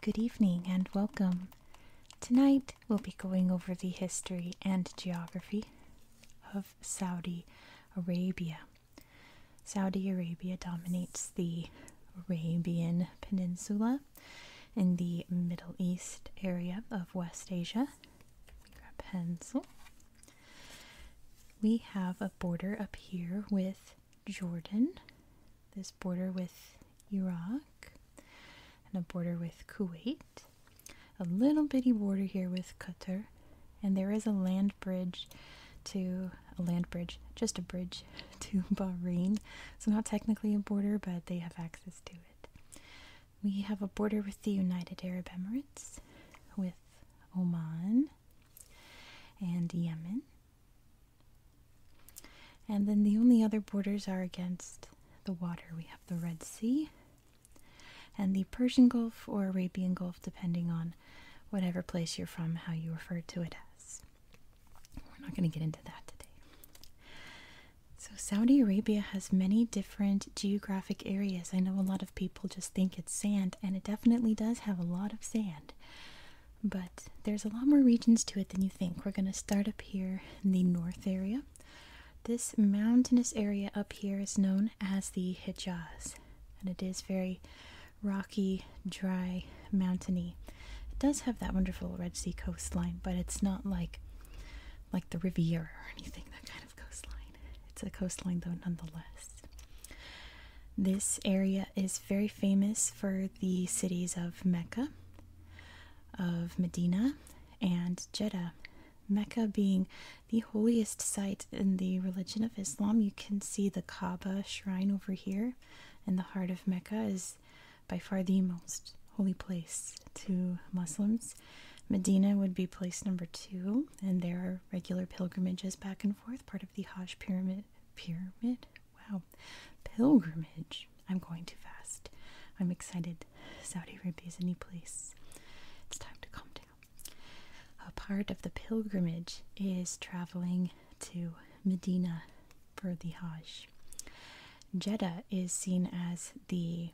Good evening and welcome. Tonight we'll be going over the history and geography of Saudi Arabia. Saudi Arabia dominates the Arabian Peninsula in the Middle East area of West Asia we grab pencil. We have a border up here with Jordan, this border with Iraq, and a border with Kuwait, a little bitty border here with Qatar, and there is a land bridge to a land bridge, just a bridge to Bahrain. So, not technically a border, but they have access to it. We have a border with the United Arab Emirates, with Oman and Yemen. And then the only other borders are against the water. We have the Red Sea and the Persian Gulf or Arabian Gulf, depending on whatever place you're from, how you refer to it as. We're not going to get into that today. So, Saudi Arabia has many different geographic areas. I know a lot of people just think it's sand, and it definitely does have a lot of sand. But there's a lot more regions to it than you think. We're going to start up here in the north area. This mountainous area up here is known as the Hijaz, and it is very rocky, dry, mountainy. It does have that wonderful Red Sea coastline, but it's not like like the Riviera or anything that kind of coastline. It's a coastline, though, nonetheless. This area is very famous for the cities of Mecca, of Medina, and Jeddah. Mecca being the holiest site in the religion of Islam. You can see the Kaaba shrine over here, and the heart of Mecca is by far the most holy place to Muslims. Medina would be place number two, and there are regular pilgrimages back and forth, part of the Hajj pyramid. Pyramid? Wow. Pilgrimage. I'm going too fast. I'm excited. Saudi Arabia is a new place. It's time to calm down. A part of the pilgrimage is traveling to Medina for the Hajj. Jeddah is seen as the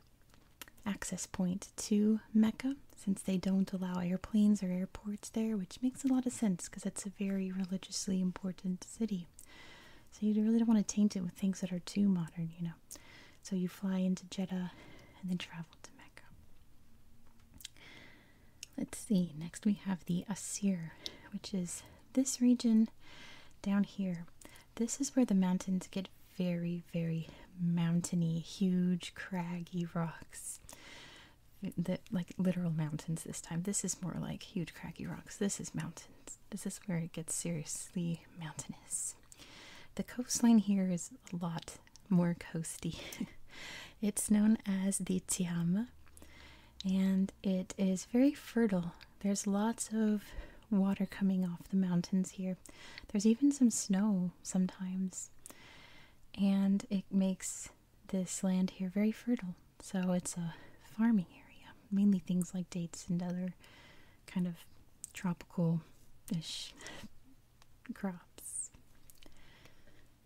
access point to Mecca since they don't allow airplanes or airports there, which makes a lot of sense because it's a very religiously important city. So you really don't want to taint it with things that are too modern, you know. So you fly into Jeddah and then travel to Mecca. Let's see, next we have the Asir, which is this region down here. This is where the mountains get very, very mountainy, huge, craggy rocks. The, like literal mountains this time. This is more like huge, craggy rocks. This is mountains. This is where it gets seriously mountainous. The coastline here is a lot more coasty. it's known as the Tiama and it is very fertile. There's lots of water coming off the mountains here. There's even some snow sometimes, and it makes this land here very fertile. So it's a farming area, mainly things like dates and other kind of tropicalish crops.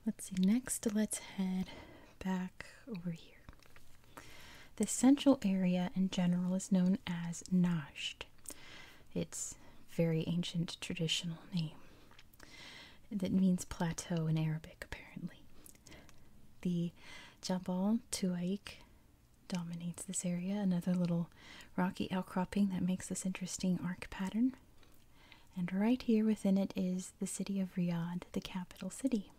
Let's see, next let's head back over here. The central area in general is known as Najd its very ancient traditional name that means plateau in Arabic apparently. The Jabal Tuaik dominates this area, another little rocky outcropping that makes this interesting arc pattern. And right here within it is the city of Riyadh, the capital city.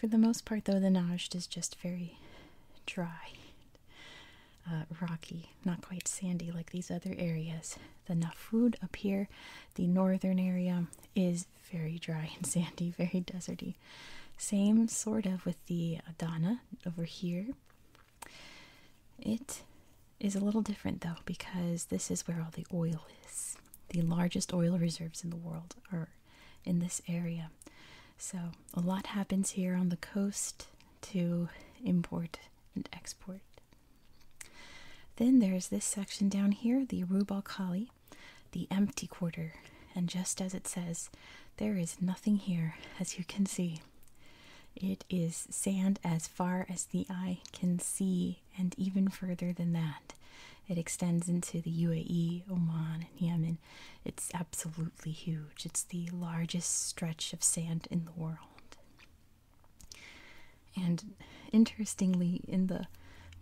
For the most part, though, the Najd is just very dry, uh, rocky, not quite sandy like these other areas. The Nafud up here, the northern area, is very dry and sandy, very deserty. Same sort of with the Adana over here. It is a little different though because this is where all the oil is. The largest oil reserves in the world are in this area. So, a lot happens here on the coast to import and export. Then there's this section down here, the Rubal Khali, the empty quarter. And just as it says, there is nothing here, as you can see. It is sand as far as the eye can see, and even further than that. It extends into the UAE, Oman, and Yemen. It's absolutely huge. It's the largest stretch of sand in the world. And interestingly, in the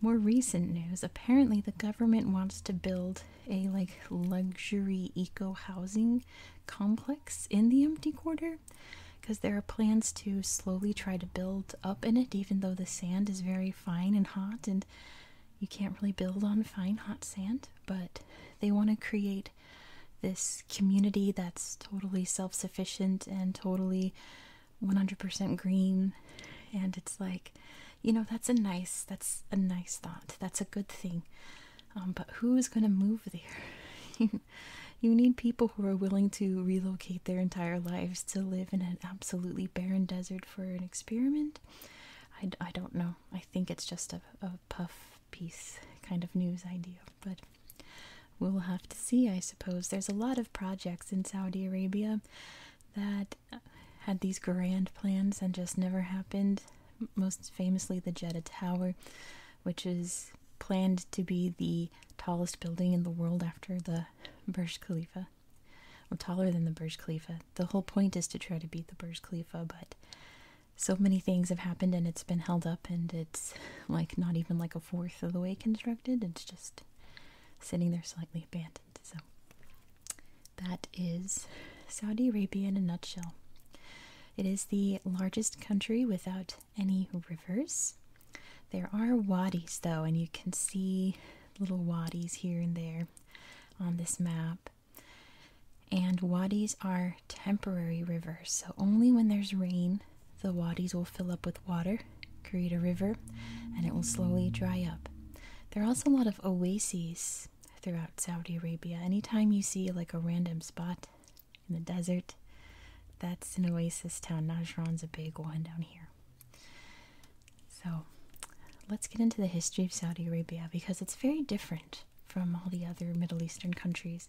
more recent news, apparently the government wants to build a like luxury eco housing complex in the empty quarter because there are plans to slowly try to build up in it, even though the sand is very fine and hot and you can't really build on fine hot sand, but they want to create this community that's totally self sufficient and totally 100% green. And it's like, you know, that's a nice, that's a nice thought. That's a good thing. Um, but who's going to move there? you need people who are willing to relocate their entire lives to live in an absolutely barren desert for an experiment. I, I don't know I think it's just a, a puff piece kind of news idea, but we'll have to see, I suppose. There's a lot of projects in Saudi Arabia that had these grand plans and just never happened. Most famously, the Jeddah Tower, which is planned to be the tallest building in the world after the Burj Khalifa. Khalifa, or taller than the Burj Khalifa. The whole point is to try to beat the Burj Khalifa, but so many things have happened and it's been held up, and it's like not even like a fourth of the way constructed. It's just sitting there slightly abandoned. So that is Saudi Arabia in a nutshell. It is the largest country without any rivers. There are wadis though, and you can see little wadis here and there on this map. And wadis are temporary rivers, so only when there's rain, the wadis will fill up with water, create a river, and it will slowly dry up. There are also a lot of oases throughout Saudi Arabia. Anytime you see like a random spot in the desert, that's an oasis town. Najran's a big one down here. So let's get into the history of Saudi Arabia because it's very different from all the other Middle Eastern countries,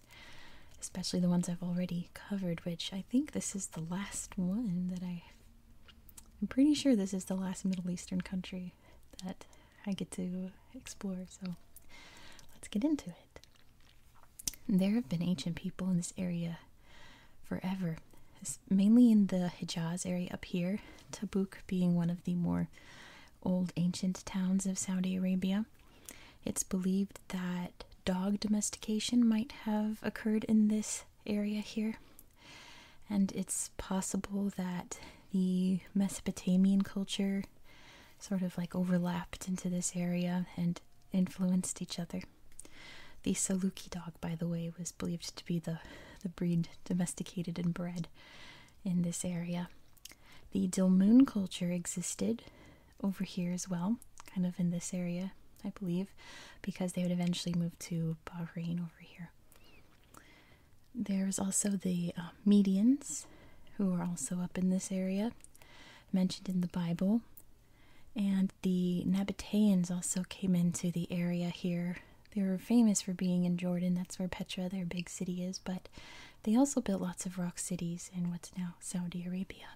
especially the ones I've already covered, which I think this is the last one that I. I'm pretty sure this is the last Middle Eastern country that I get to explore, so let's get into it. There have been ancient people in this area forever, mainly in the Hijaz area up here, Tabuk being one of the more old ancient towns of Saudi Arabia. It's believed that dog domestication might have occurred in this area here, and it's possible that the Mesopotamian culture sort of like overlapped into this area and influenced each other. The Saluki dog, by the way, was believed to be the the breed domesticated and bred in this area. The Dilmun culture existed over here as well, kind of in this area, I believe, because they would eventually move to Bahrain over here. There's also the uh, Medians, who are also up in this area, mentioned in the Bible. And the Nabateans also came into the area here they were famous for being in Jordan, that's where Petra, their big city, is, but they also built lots of rock cities in what's now Saudi Arabia.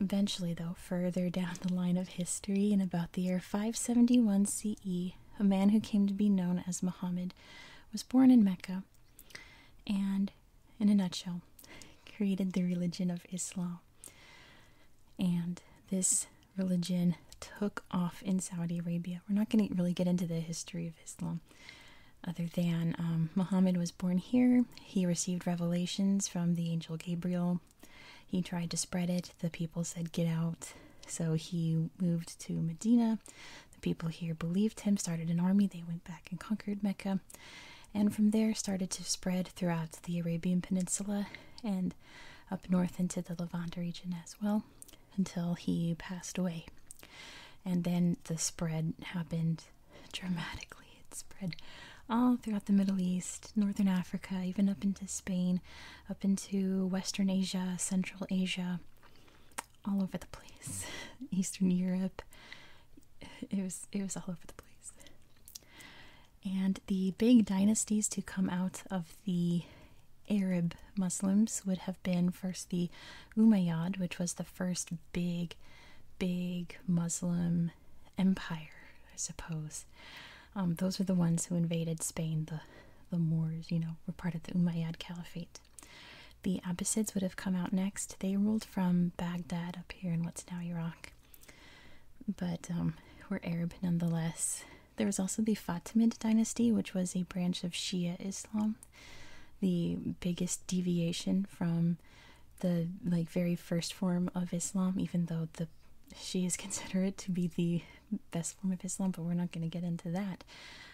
Eventually, though, further down the line of history, in about the year 571 CE, a man who came to be known as Muhammad was born in Mecca and, in a nutshell, created the religion of Islam. And this religion took off in Saudi Arabia. We're not going to really get into the history of Islam other than um, Muhammad was born here. He received revelations from the angel Gabriel. He tried to spread it. The people said, Get out. So he moved to Medina. The people here believed him, started an army. They went back and conquered Mecca. And from there, started to spread throughout the Arabian Peninsula. And up north into the Levant region as well until he passed away. And then the spread happened dramatically. It spread all throughout the Middle East, Northern Africa, even up into Spain, up into Western Asia, Central Asia, all over the place, Eastern Europe. It was it was all over the place. And the big dynasties to come out of the Arab Muslims would have been first the Umayyad, which was the first big, big Muslim empire, I suppose. Um, those were the ones who invaded Spain, the, the Moors, you know, were part of the Umayyad Caliphate. The Abbasids would have come out next. They ruled from Baghdad up here in what's now Iraq but um, we're Arab nonetheless. There was also the Fatimid dynasty, which was a branch of Shia Islam, the biggest deviation from the like very first form of Islam, even though the Shias consider it to be the best form of Islam, but we're not going to get into that.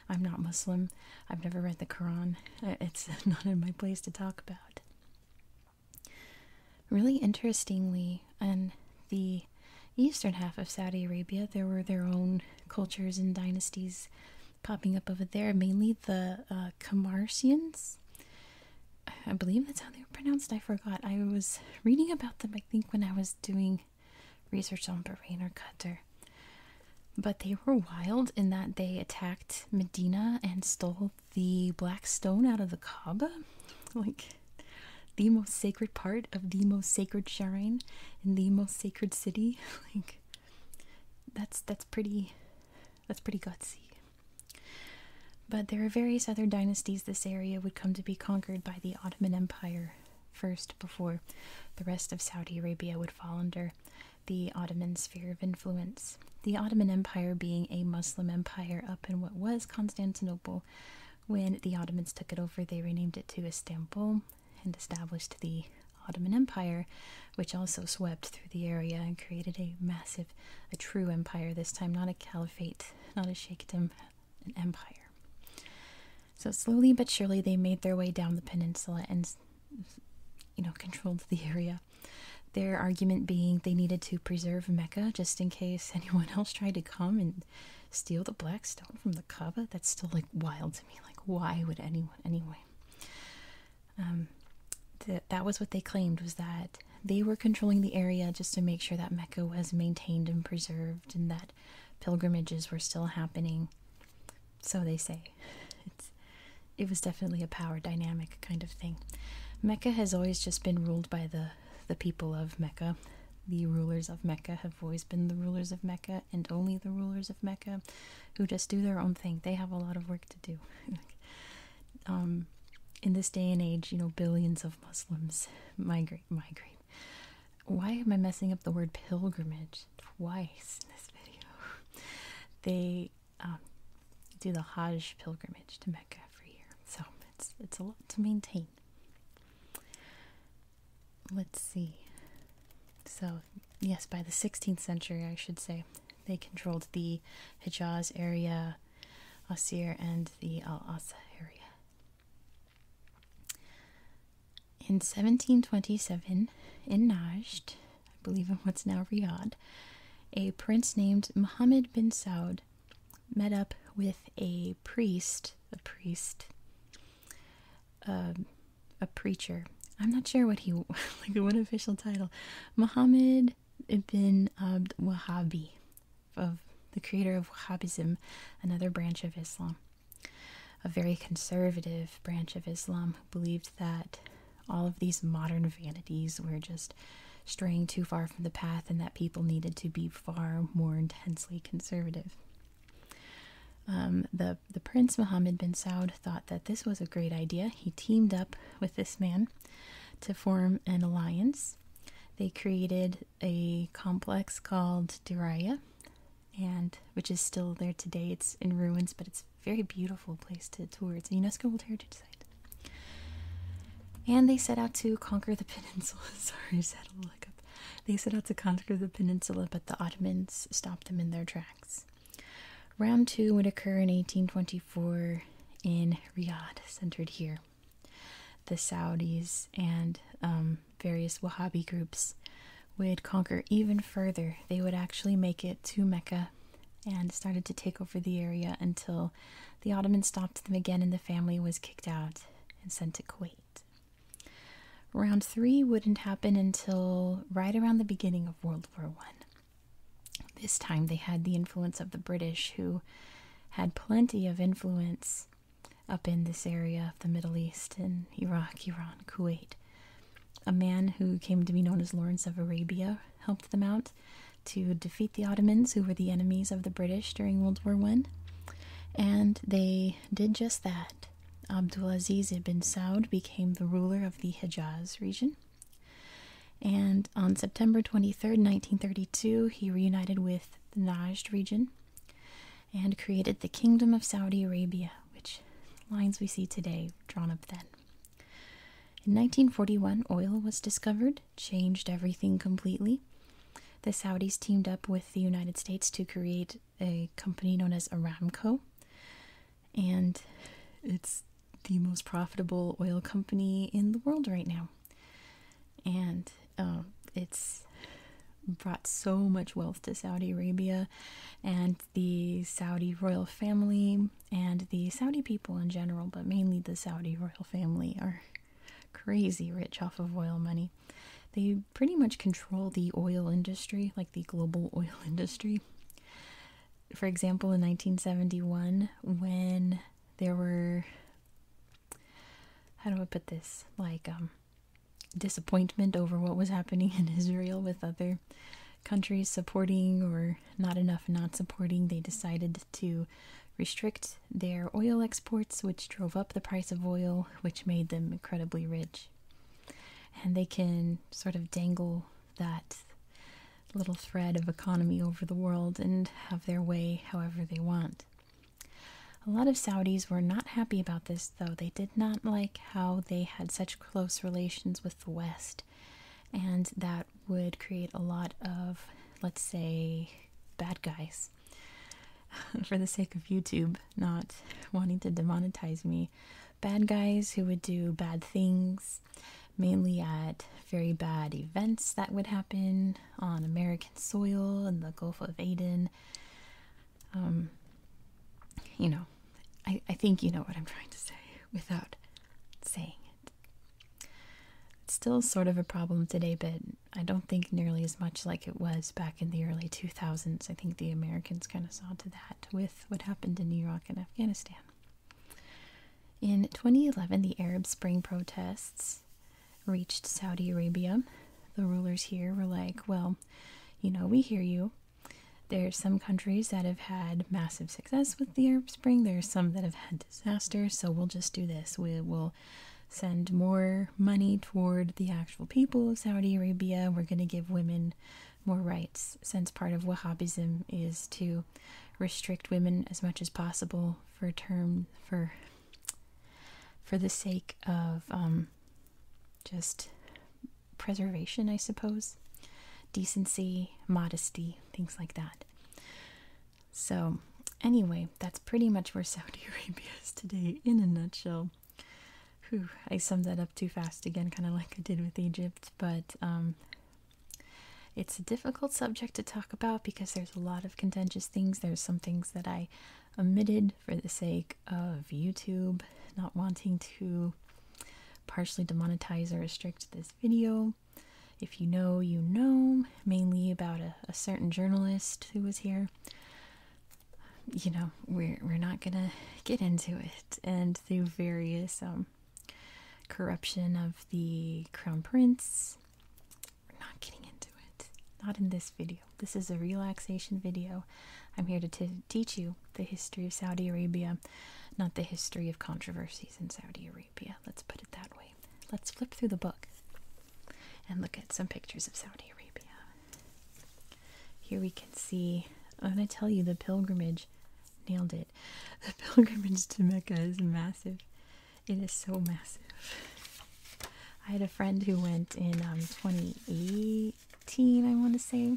I'm not Muslim. I've never read the Quran. Uh, it's not in my place to talk about. Really interestingly, in the eastern half of Saudi Arabia, there were their own cultures and dynasties popping up over there, mainly the uh, I believe that's how they were pronounced. I forgot. I was reading about them, I think, when I was doing research on Bahrain or Qatar. But they were wild in that they attacked Medina and stole the black stone out of the Kaaba, like the most sacred part of the most sacred shrine in the most sacred city. Like that's that's pretty that's pretty gutsy. But there are various other dynasties this area would come to be conquered by the Ottoman Empire first before the rest of Saudi Arabia would fall under the Ottoman sphere of influence. The Ottoman Empire being a Muslim empire up in what was Constantinople when the Ottomans took it over, they renamed it to Istanbul and established the Ottoman Empire, which also swept through the area and created a massive, a true empire this time, not a caliphate, not a sheikhdom, an empire. So, slowly but surely, they made their way down the peninsula and you know, controlled the area. Their argument being they needed to preserve Mecca just in case anyone else tried to come and steal the black stone from the Kaaba. That's still like wild to me. Like, why would anyone anyway? Um, that was what they claimed was that they were controlling the area just to make sure that Mecca was maintained and preserved, and that pilgrimages were still happening. So they say, it's it was definitely a power dynamic kind of thing. Mecca has always just been ruled by the the people of Mecca. The rulers of Mecca have always been the rulers of Mecca and only the rulers of Mecca who just do their own thing. They have a lot of work to do. um, in this day and age, you know, billions of Muslims migrate, migrate. Why am I messing up the word pilgrimage twice in this video? They um, do the Hajj pilgrimage to Mecca every year. So it's it's a lot to maintain. Let's see. So, yes, by the 16th century, I should say, they controlled the Hijaz area, Asir, and the Al Asa area. In 1727, in Najd, I believe in what's now Riyadh, a prince named Muhammad bin Saud met up with a priest, a priest, um, a preacher. I'm not sure what he, like what official title, Muhammad ibn Abd Wahhabi, of the creator of Wahhabism, another branch of Islam, a very conservative branch of Islam who believed that all of these modern vanities were just straying too far from the path and that people needed to be far more intensely conservative. Um, the, the prince Mohammed bin Saud thought that this was a great idea. He teamed up with this man to form an alliance. They created a complex called Diraya, and which is still there today. It's in ruins, but it's a very beautiful place to tour. It's a UNESCO Heritage and they set out to conquer the peninsula. Sorry, just a little hiccup. They set out to conquer the peninsula, but the Ottomans stopped them in their tracks. Round two would occur in 1824 in Riyadh, centered here. The Saudis and um, various Wahhabi groups would conquer even further. They would actually make it to Mecca and started to take over the area until the Ottomans stopped them again and the family was kicked out and sent to Kuwait. Round three wouldn't happen until right around the beginning of World War One. This time they had the influence of the British, who had plenty of influence up in this area of the Middle East in Iraq, Iran, Kuwait. A man who came to be known as Lawrence of Arabia helped them out, to defeat the Ottomans, who were the enemies of the British during World War One, and they did just that. Abdulaziz ibn Saud became the ruler of the Hijaz region, and on September 23, 1932, he reunited with the Najd region and created the Kingdom of Saudi Arabia, which lines we see today drawn up then. In 1941, oil was discovered, changed everything completely. The Saudis teamed up with the United States to create a company known as Aramco, and it's the most profitable oil company in the world right now. And um, it's brought so much wealth to Saudi Arabia and the Saudi royal family and the Saudi people in general, but mainly the Saudi royal family are crazy rich off of oil money. They pretty much control the oil industry, like the global oil industry. For example, in 1971, when there were, how do I put this? Like, um, disappointment over what was happening in Israel with other countries supporting or not enough not supporting, they decided to restrict their oil exports, which drove up the price of oil, which made them incredibly rich. And they can sort of dangle that little thread of economy over the world and have their way however they want. A lot of Saudis were not happy about this, though. They did not like how they had such close relations with the West and that would create a lot of, let's say, bad guys. For the sake of YouTube not wanting to demonetize me, bad guys who would do bad things, mainly at very bad events that would happen on American soil in the Gulf of Aden. Um, you know, I, I think you know what I'm trying to say without saying it's still sort of a problem today, but I don't think nearly as much like it was back in the early 2000s. I think the Americans kind of saw to that with what happened in Iraq and Afghanistan. In 2011, the Arab Spring protests reached Saudi Arabia. The rulers here were like, well, you know, we hear you. There are some countries that have had massive success with the Arab Spring. There are some that have had disaster, so we'll just do this. We will send more money toward the actual people of Saudi Arabia. We're going to give women more rights, since part of Wahhabism is to restrict women as much as possible for term for for the sake of um, just preservation, I suppose, decency, modesty, things like that. So, anyway, that's pretty much where Saudi Arabia is today in a nutshell. Whew, I summed that up too fast again, kind of like I did with Egypt, but um, it's a difficult subject to talk about because there's a lot of contentious things. There's some things that I omitted for the sake of YouTube, not wanting to partially demonetize or restrict this video. If you know, you know, mainly about a, certain journalist who was here. You know, we're, we're not gonna get into it. And through various um, corruption of the crown prince, not getting into it. Not in this video. This is a relaxation video. I'm here to teach you the history of Saudi Arabia, not the history of controversies in Saudi Arabia. Let's put it that way. Let's flip through the book and look at some pictures of Saudi Arabia. Here we can see, I'm going to tell you the pilgrimage, nailed it. The pilgrimage to Mecca is massive. It is so massive. I had a friend who went in um, 2018, I want to say.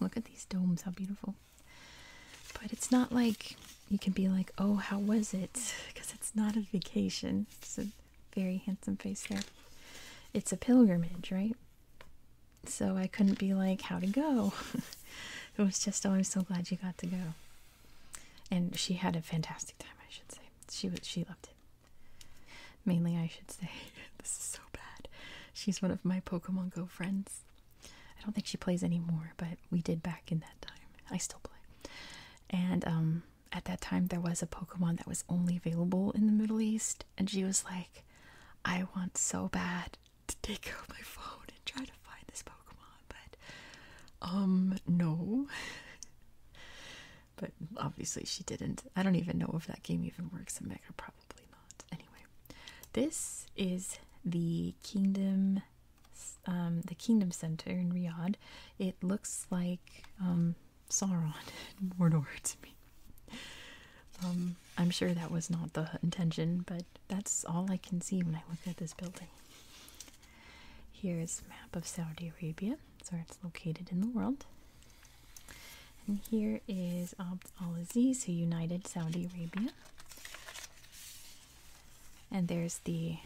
Look at these domes, how beautiful. But it's not like you can be like, oh, how was it? Because it's not a vacation. It's a very handsome face there. It's a pilgrimage, right? So I couldn't be like, how to go. it was just, oh, I'm so glad you got to go. And she had a fantastic time, I should say. She she loved it. Mainly, I should say. this is so bad. She's one of my Pokemon Go friends. I don't think she plays anymore, but we did back in that time. I still play. And um, at that time, there was a Pokemon that was only available in the Middle East, and she was like, I want so bad to take out my phone and try to find this Pokemon, but um, no. but obviously, she didn't. I don't even know if that game even works in Mega, probably not. Anyway, this is the Kingdom um, the Kingdom Center in Riyadh, it looks like um, Sauron in Mordor to me. Um, I'm sure that was not the intention, but that's all I can see when I look at this building. Here's a map of Saudi Arabia, it's where it's located in the world. And here is Abd al-Aziz, who united Saudi Arabia and there's the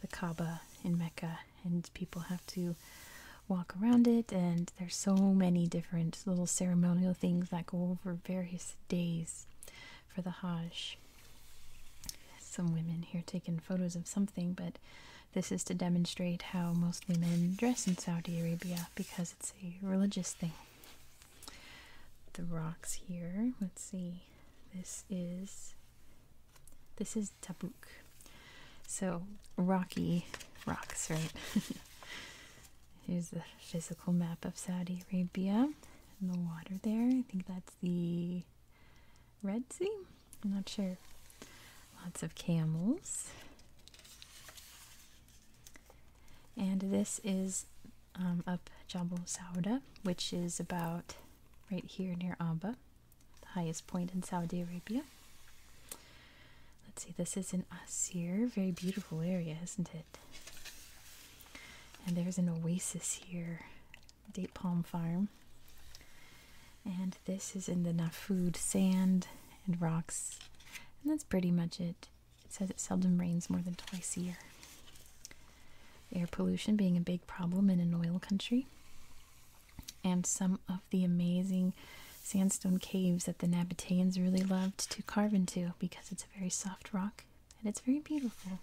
the Kaaba in Mecca, and people have to walk around it, and there's so many different little ceremonial things that go over various days for the Hajj. Some women here taking photos of something, but this is to demonstrate how most women dress in Saudi Arabia because it's a religious thing the rocks here. Let's see. This is this is Tabuk. So rocky rocks, right? Here's the physical map of Saudi Arabia the water there. I think that's the Red Sea. I'm not sure. Lots of camels. And this is um, up Jabal Sauda, which is about right here near Amba, the highest point in Saudi Arabia. Let's see, this is in Asir, very beautiful area, isn't it? And there's an oasis here, date palm farm. And this is in the Nafud sand and rocks. And that's pretty much it. It says it seldom rains more than twice a year. Air pollution being a big problem in an oil country, and some of the amazing sandstone caves that the Nabataeans really loved to carve into because it's a very soft rock and it's very beautiful.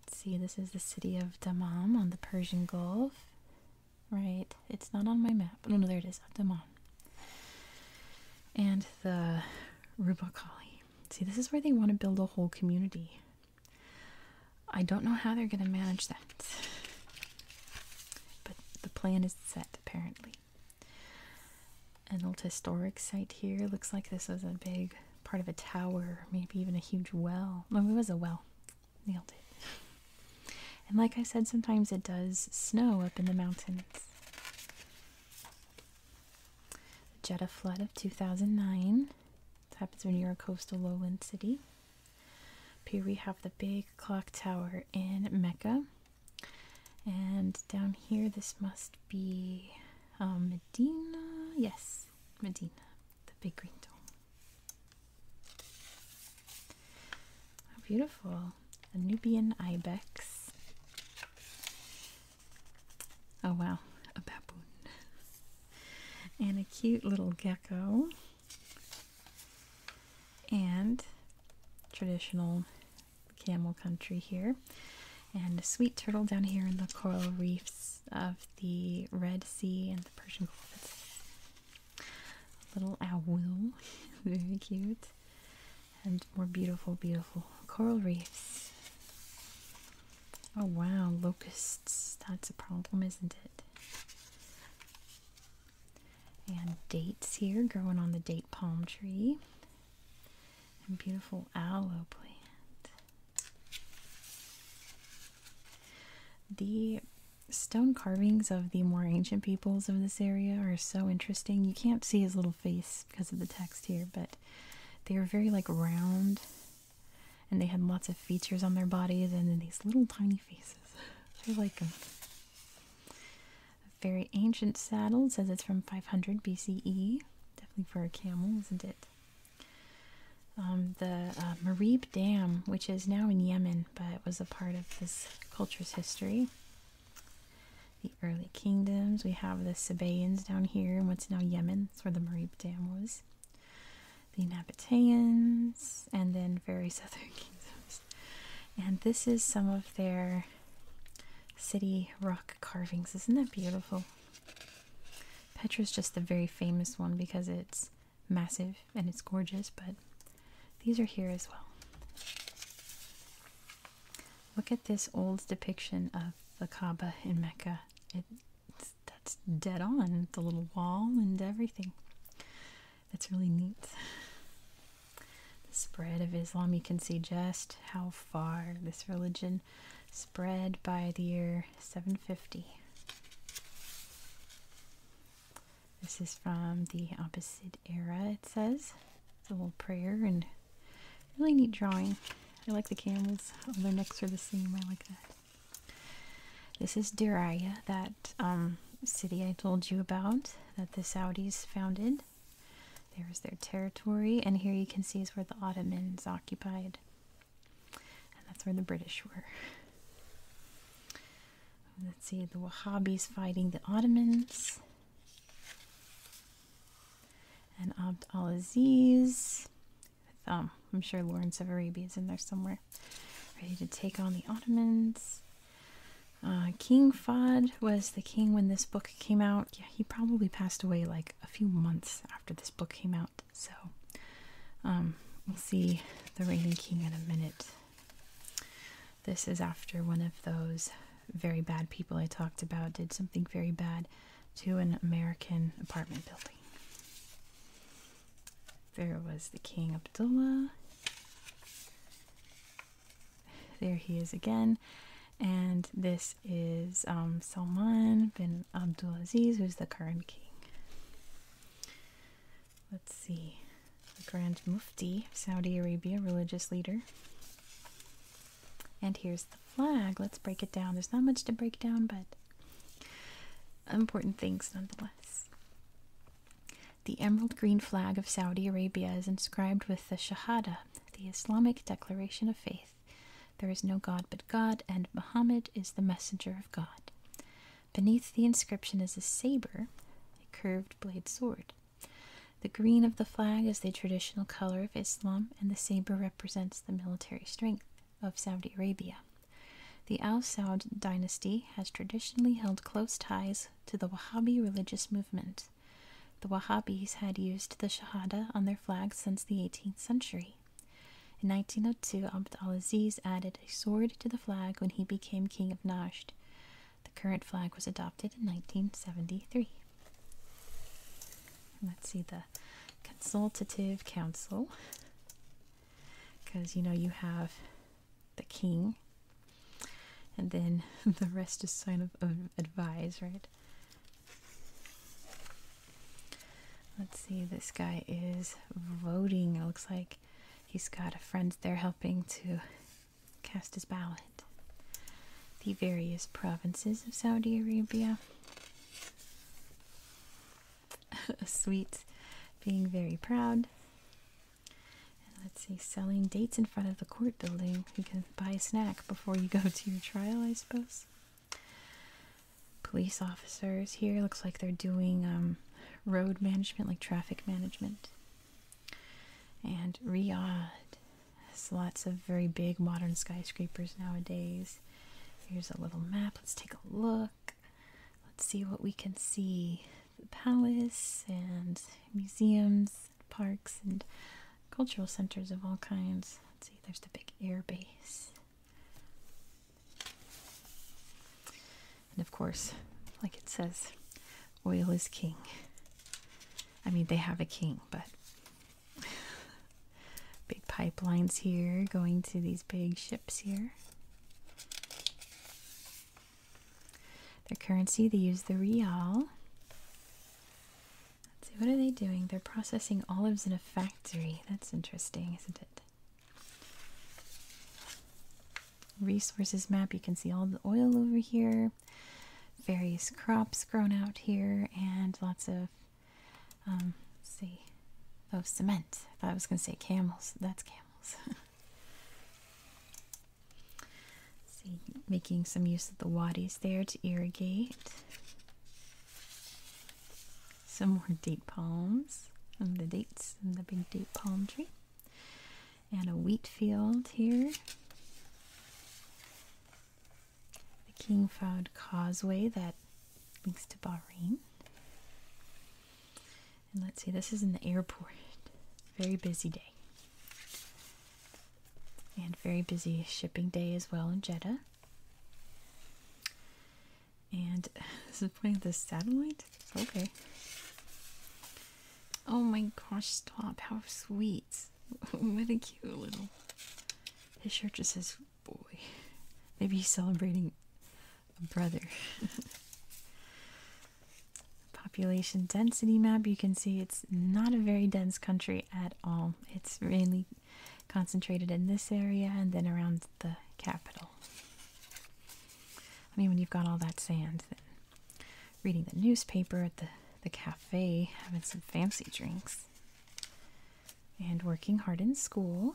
Let's see, this is the city of Damam on the Persian Gulf. Right, it's not on my map. Oh, no, no, there it is, Damam and the Rubicali. See, this is where they want to build a whole community. I don't know how they're going to manage that, but the plan is set apparently. An old historic site here looks like this was a big part of a tower, maybe even a huge well. No, it was a well. Nailed it. And like I said, sometimes it does snow up in the mountains. The Jetta flood of 2009. It happens when you're a coastal lowland city. Up here we have the big clock tower in Mecca. And down here, this must be uh, Medina. Yes, Medina, the big green dome. How beautiful. A Nubian ibex. Oh wow, a baboon. And a cute little gecko. And traditional camel country here. And a sweet turtle down here in the coral reefs of the Red Sea and the Persian Gulf. little owl. Very cute and more beautiful, beautiful coral reefs. Oh wow, locusts. That's a problem, isn't it? And dates here growing on the date palm tree. And beautiful aloe plant. The stone carvings of the more ancient peoples of area are so interesting. You can't see his little face because of the text here, but they are very like round and they had lots of features on their bodies and these little tiny faces. I like them. very ancient saddle says it's from 500 BCE. Definitely for a camel, isn't it? Um, the uh, Marib Dam, which is now in Yemen, but was a part of this culture's history, the early kingdoms, we have the Sabaeans down here in what's now Yemen, that's where the Marib Dam was. The Nabateans, and then various other kingdoms. And this is some of their city rock carvings. Isn't that beautiful? Petra's just the very famous one because it's massive and it's gorgeous, but these are here as well. Look at this old depiction of the Kaaba in Mecca. It, that's dead on. The little wall and everything. That's really neat. The spread of Islam, you can see just how far this religion spread by the year 750. This is from the Abbasid era, it says the little prayer and really neat drawing. I like the camels. their necks are the same. I like that. This is Diriyah, that um, city I told you about that the Saudis founded. There's their territory, and here you can see is where the Ottomans occupied. And that's where the British were. Let's see, the Wahhabis fighting the Ottomans and Abd al Aziz. Um, I'm sure Lawrence of Arabia is in there somewhere, ready to take on the Ottomans. Uh, king Fahd was the king when this book came out. Yeah, he probably passed away like a few months after this book came out. So um, we'll see the reigning king in a minute. This is after one of those very bad people I talked about did something very bad to an American apartment building. There was the King Abdullah. There he is again. And this is um, Salman bin Abdulaziz, who's the current king. Let's see the Grand Mufti Saudi Arabia, religious leader. And here's the flag. Let's break it down. There's not much to break down, but important things nonetheless. The emerald green flag of Saudi Arabia is inscribed with the Shahada, the Islamic declaration of faith. There is no God but God, and Muhammad is the messenger of God. Beneath the inscription is a saber, a curved blade sword. The green of the flag is the traditional color of Islam, and the saber represents the military strength of Saudi Arabia. The Al Saud dynasty has traditionally held close ties to the Wahhabi religious movement. The Wahhabis had used the Shahada on their flag since the 18th century. In 1902, Abd al Aziz added a sword to the flag when he became king of Najd. The current flag was adopted in 1973. Let's see the Consultative Council. Because you know, you have the king, and then the rest is sign of, advice, right? Let's see, this guy is voting. It looks like he's got a friend there helping to cast his ballot. The various provinces of Saudi Arabia. Sweets being very proud. let's see, selling dates in front of the court building. You can buy a snack before you go to your trial, I suppose. Police officers here looks like they're doing um, road management, like traffic management. And Riyadh has lots of very big modern skyscrapers nowadays. Here's a little map. Let's take a look. Let's see what we can see. The palace and museums, parks, and cultural centers of all kinds. Let's see, there's the big air base. And of course, like it says, Oil is king. I mean, they have a king, but big pipelines here going to these big ships here. Their currency, they use the real. Let's see, what are they doing? They're processing olives in a factory. That's interesting, isn't it? Resources map, you can see all the oil over here various crops grown out here and lots of um see of oh, cement i thought i was going to say camels that's camels see making some use of the wadis there to irrigate some more date palms and the dates and the big date palm tree and a wheat field here. The King Fahd Causeway that links to Bahrain. And let's see, this is in the airport. Very busy day. And very busy shipping day as well in Jeddah. And this is pointing the satellite? Okay. Oh my gosh, stop. How sweet. what a cute little. His shirt just says boy. Maybe he's celebrating a brother. Population density map. You can see it's not a very dense country at all. It's really concentrated in this area and then around the capital. I mean, when you've got all that sand, reading the newspaper at the, the cafe, having some fancy drinks, and working hard in school,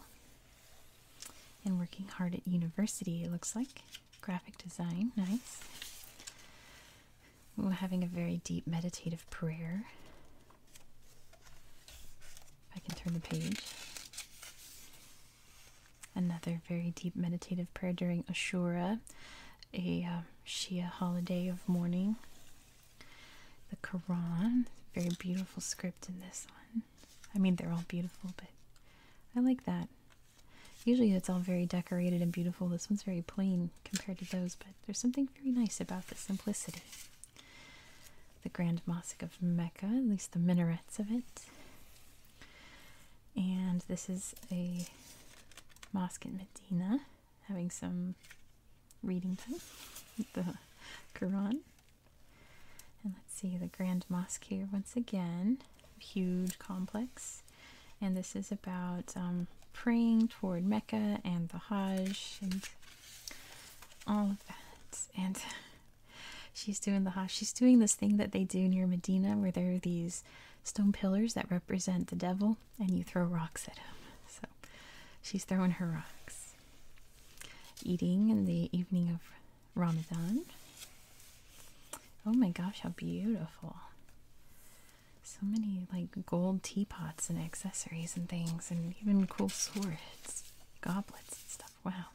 and working hard at university, it looks like. Graphic design, nice. We're having a very deep meditative prayer. I can turn the page another very deep meditative prayer during Ashura, a um, Shia holiday of mourning. The Quran, very beautiful script in this one. I mean, they're all beautiful, but I like that. Usually it's all very decorated and beautiful. This one's very plain compared to those, but there's something very nice about the simplicity. The Grand Mosque of Mecca, at least the minarets of it. And this is a mosque in Medina having some reading time the Quran. And let's see the Grand Mosque here once again, huge complex. And this is about um, praying toward Mecca and the Hajj and all of that. And she's doing the Hajj. She's doing this thing that they do near Medina where there are these stone pillars that represent the devil, and you throw rocks at him. So she's throwing her rocks. Eating in the evening of Ramadan. Oh my gosh, how beautiful! So many like gold teapots and accessories and things, and even cool swords, goblets, and stuff. Wow.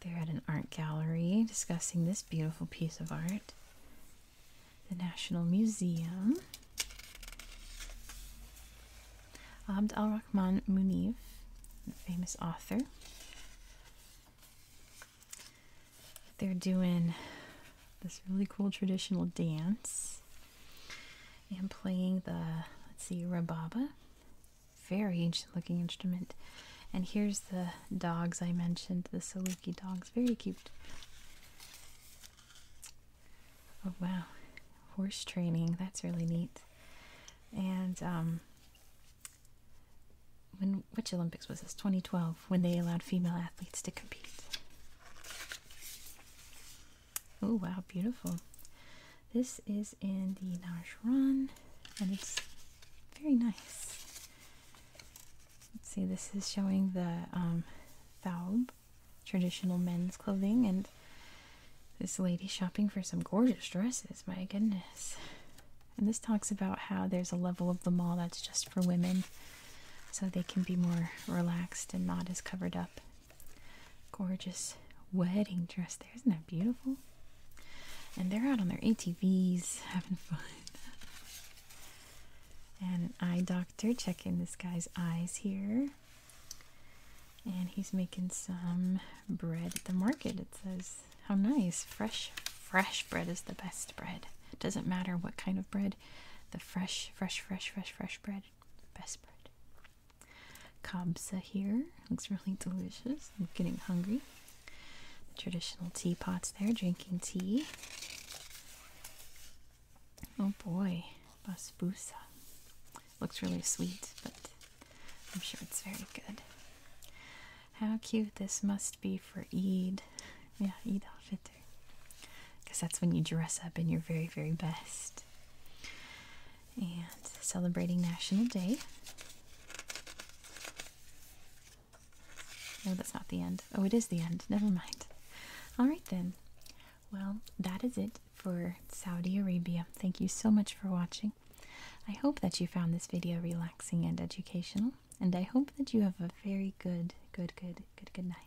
They're at an art gallery discussing this beautiful piece of art. The National Museum. Abd al Rahman Munif, famous author. They're doing this really cool traditional dance and playing the, let's see, rababa. Very ancient looking instrument. And here's the dogs I mentioned, the Saluki dogs. Very cute. Oh, wow. Horse training. That's really neat. And, um, when, which Olympics was this? 2012, when they allowed female athletes to compete. Oh, wow, beautiful. This is in the Nash Run, and it's very nice. Let's see, this is showing the um, traditional men's clothing, and this lady shopping for some gorgeous dresses. My goodness. And this talks about how there's a level of the mall that's just for women so they can be more relaxed and not as covered up. Gorgeous wedding dress. There, isn't that beautiful? And they're out on their ATVs having fun. And an eye doctor checking this guy's eyes here. And he's making some bread at the market. It says, how nice. Fresh, fresh bread is the best bread. It doesn't matter what kind of bread. The fresh, fresh, fresh, fresh, fresh bread. Best bread. Kabsa here. Looks really delicious. I'm getting hungry. Traditional teapots there drinking tea. Oh boy, basbousa. Looks really sweet, but I'm sure it's very good. How cute this must be for Eid. Yeah, Eid outfit there, Because that's when you dress up in your very, very best. And celebrating National Day. No, that's not the end. Oh, it is the end. Never mind. All right, then. Well, that is it for Saudi Arabia. Thank you so much for watching. I hope that you found this video relaxing and educational, and I hope that you have a very good, good, good, good, good night.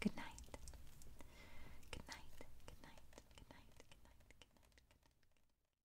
Good night. Good night. Good night. Good night. Good night. Good night. Good night.